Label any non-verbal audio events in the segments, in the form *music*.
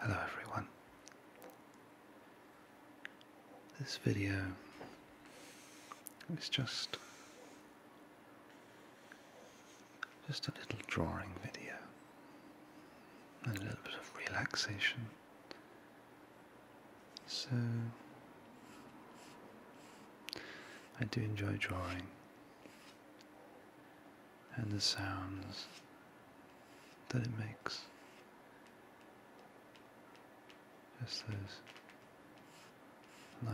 Hello everyone. This video is just just a little drawing video and a little bit of relaxation. So I do enjoy drawing and the sounds that it makes. Just those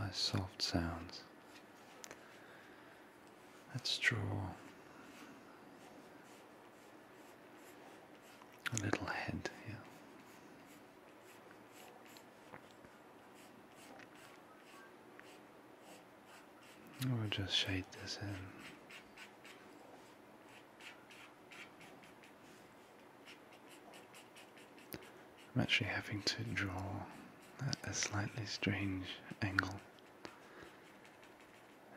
nice soft sounds. Let's draw a little head here. We'll just shade this in. I'm actually having to draw a slightly strange angle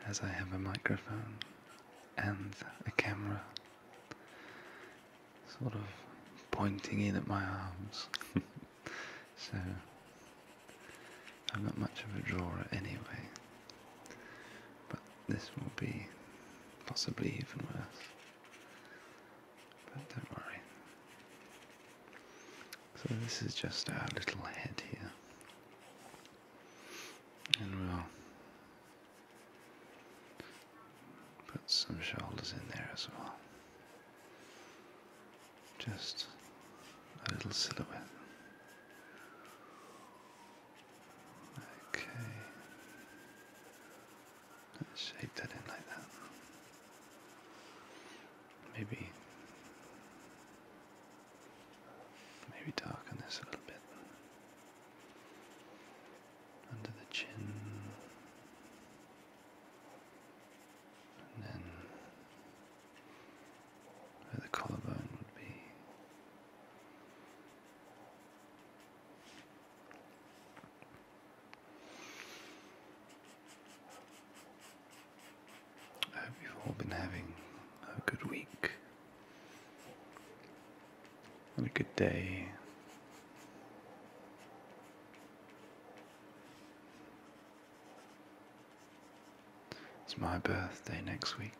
as I have a microphone and a camera sort of pointing in at my arms. *laughs* So I'm not much of a drawer anyway, but this will be possibly even worse. But don't worry. So this is just our little head here. And we'll put some shoulders in there as well just a little silhouette. Okay. Let's shape that in like that. Maybe maybe darken this a little bit. Under the chin. And then where the collarbone would be. I hope you've all been having a good week and a good day. It's my birthday next week.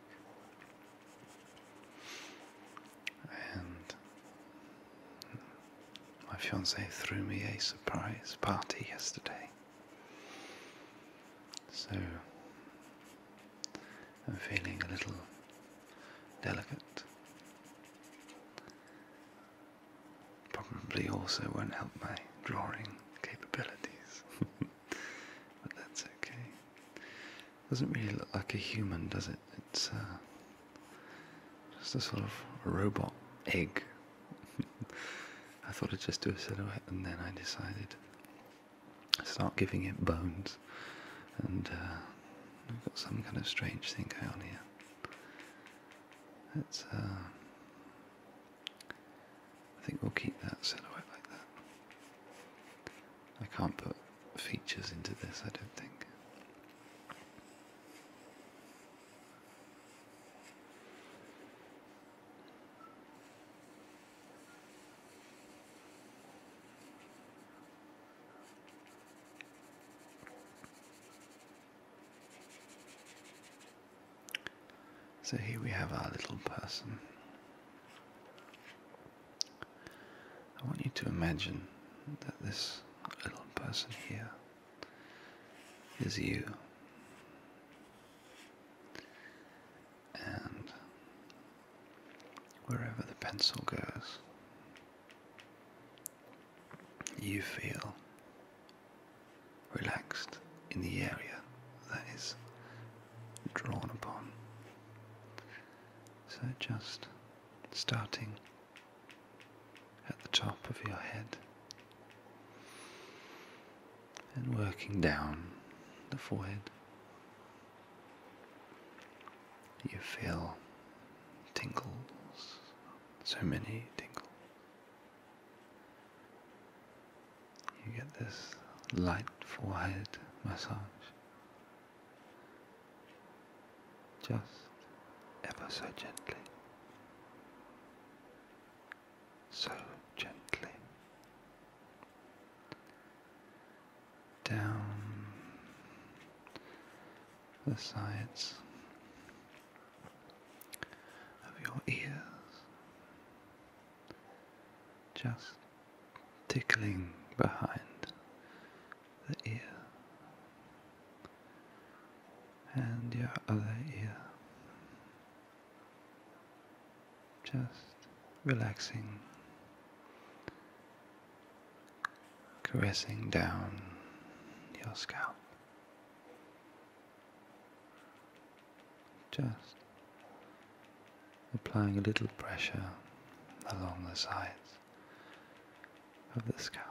And my fiance threw me a surprise party yesterday. So I'm feeling a little delicate. Probably also won't help my drawing capabilities. *laughs* but that's okay. Doesn't really look like a human, does it? It's uh, just a sort of robot egg. *laughs* I thought I'd just do a silhouette, and then I decided to start giving it bones. And uh, I've got some kind of strange thing going on here. Let's, uh, think we'll keep that silhouette like that. I can't put features into this, I don't think. So here we have our little person. I want you to imagine that this little person here is you. And wherever the pencil goes, you feel relaxed in the area that is drawn upon. So just starting at the top of your head and working down the forehead. You feel tingles so many tingles. You get this light forehead massage. Just ever so gently. So gently. Down the sides of your ears, just tickling behind the ear and your other ear, just relaxing caressing down your scalp. Just applying a little pressure along the sides of the scalp.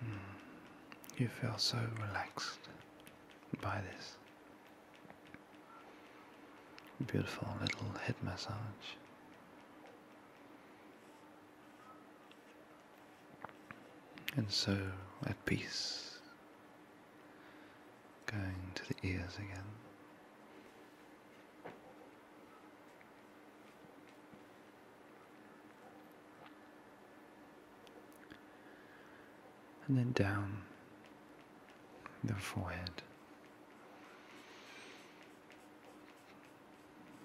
Hmm. You feel so relaxed by this. Beautiful little head massage. And so at peace, going to the ears again and then down the forehead.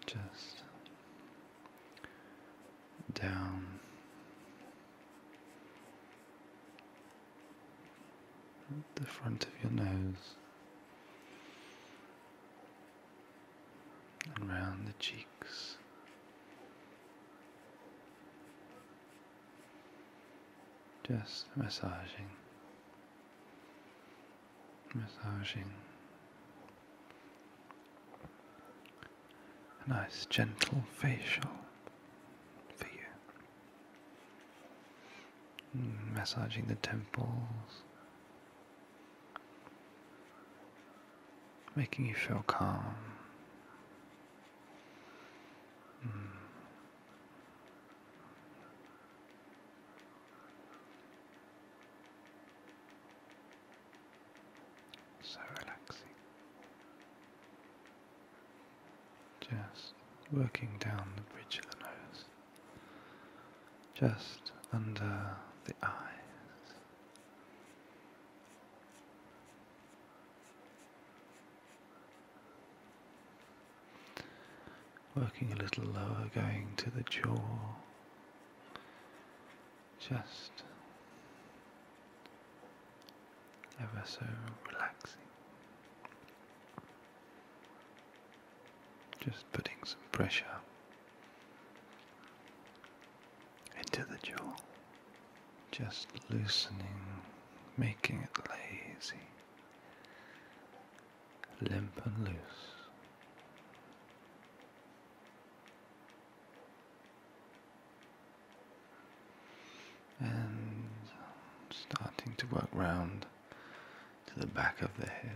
Just down the front of your nose and round the cheeks just massaging, massaging. A nice gentle facial for you. Mm, massaging the temples, making you feel calm Mm. So relaxing. Just working down the bridge of the nose, just under the eyes. Working a little lower, going to the jaw, just ever so relaxing. Just putting some pressure into the jaw, just loosening, making it lazy, limp and loose. And starting to work round to the back of the head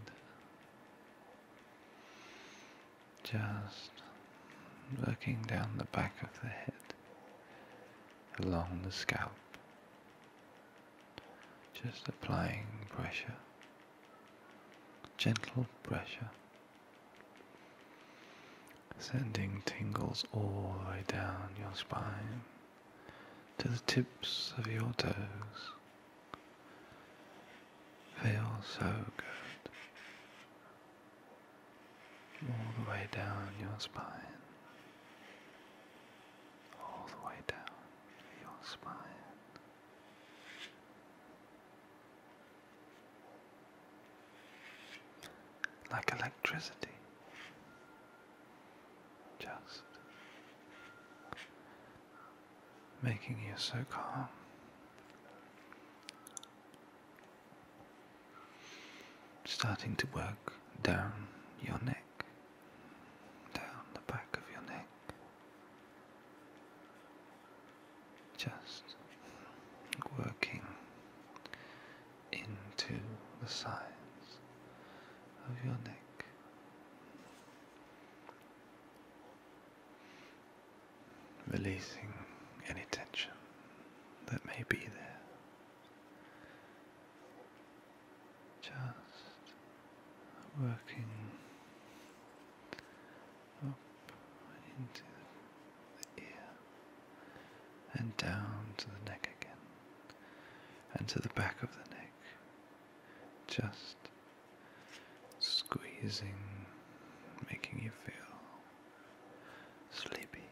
just working down the back of the head, along the scalp, just applying pressure, gentle pressure, sending tingles all the way down your spine to the tips of your toes. Feel so good all the way down your spine, all the way down your spine. Like electricity, just making you so calm starting to work down your neck, down the back of your neck. Just working into the sides of your neck releasing any tension that may be there. Just working up into the ear and down to the neck again and to the back of the neck. Just squeezing, making you feel sleepy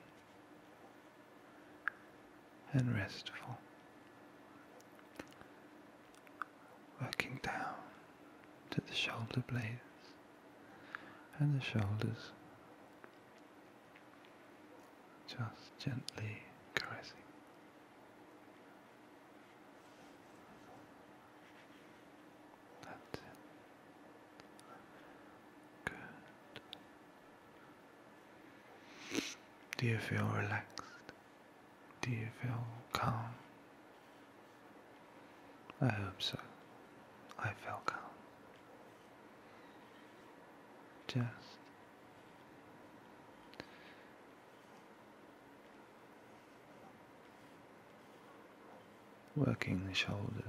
and restful, working down to the shoulder blades and the shoulders, just gently caressing that's it. Good. Do you feel relaxed? Do you feel calm? I hope so. I feel calm. Just Working the shoulders.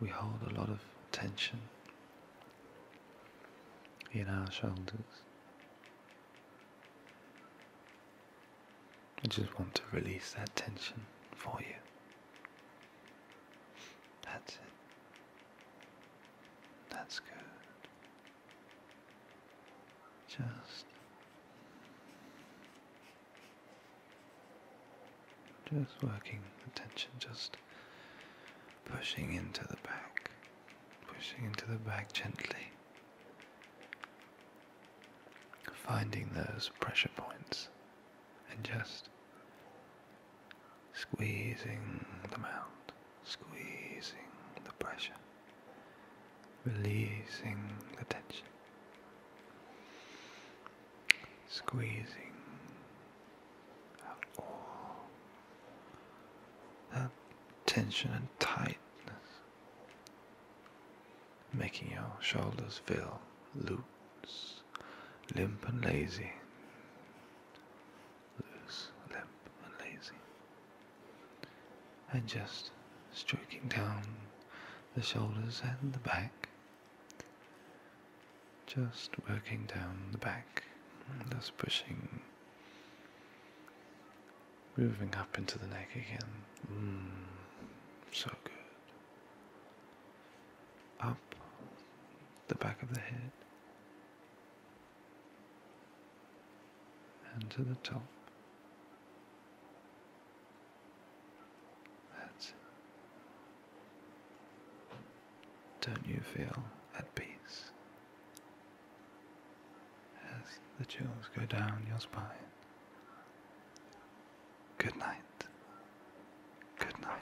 We hold a lot of tension in our shoulders. I just want to release that tension for you. That's it. That's good. Just, just working tension. just pushing into the back, pushing into the back gently, finding those pressure points and just squeezing the mound squeezing the pressure, releasing the tension, squeezing out all that tension and tightness, making your shoulders feel loose, limp and lazy loose, limp, and lazy, and just stroking down the shoulders and the back, just working down the back, just pushing, moving up into the neck again. Mm, so good. Up the back of the head, and to the top. That's Don't you feel at peace as the chills go down your spine? Good night. Good night.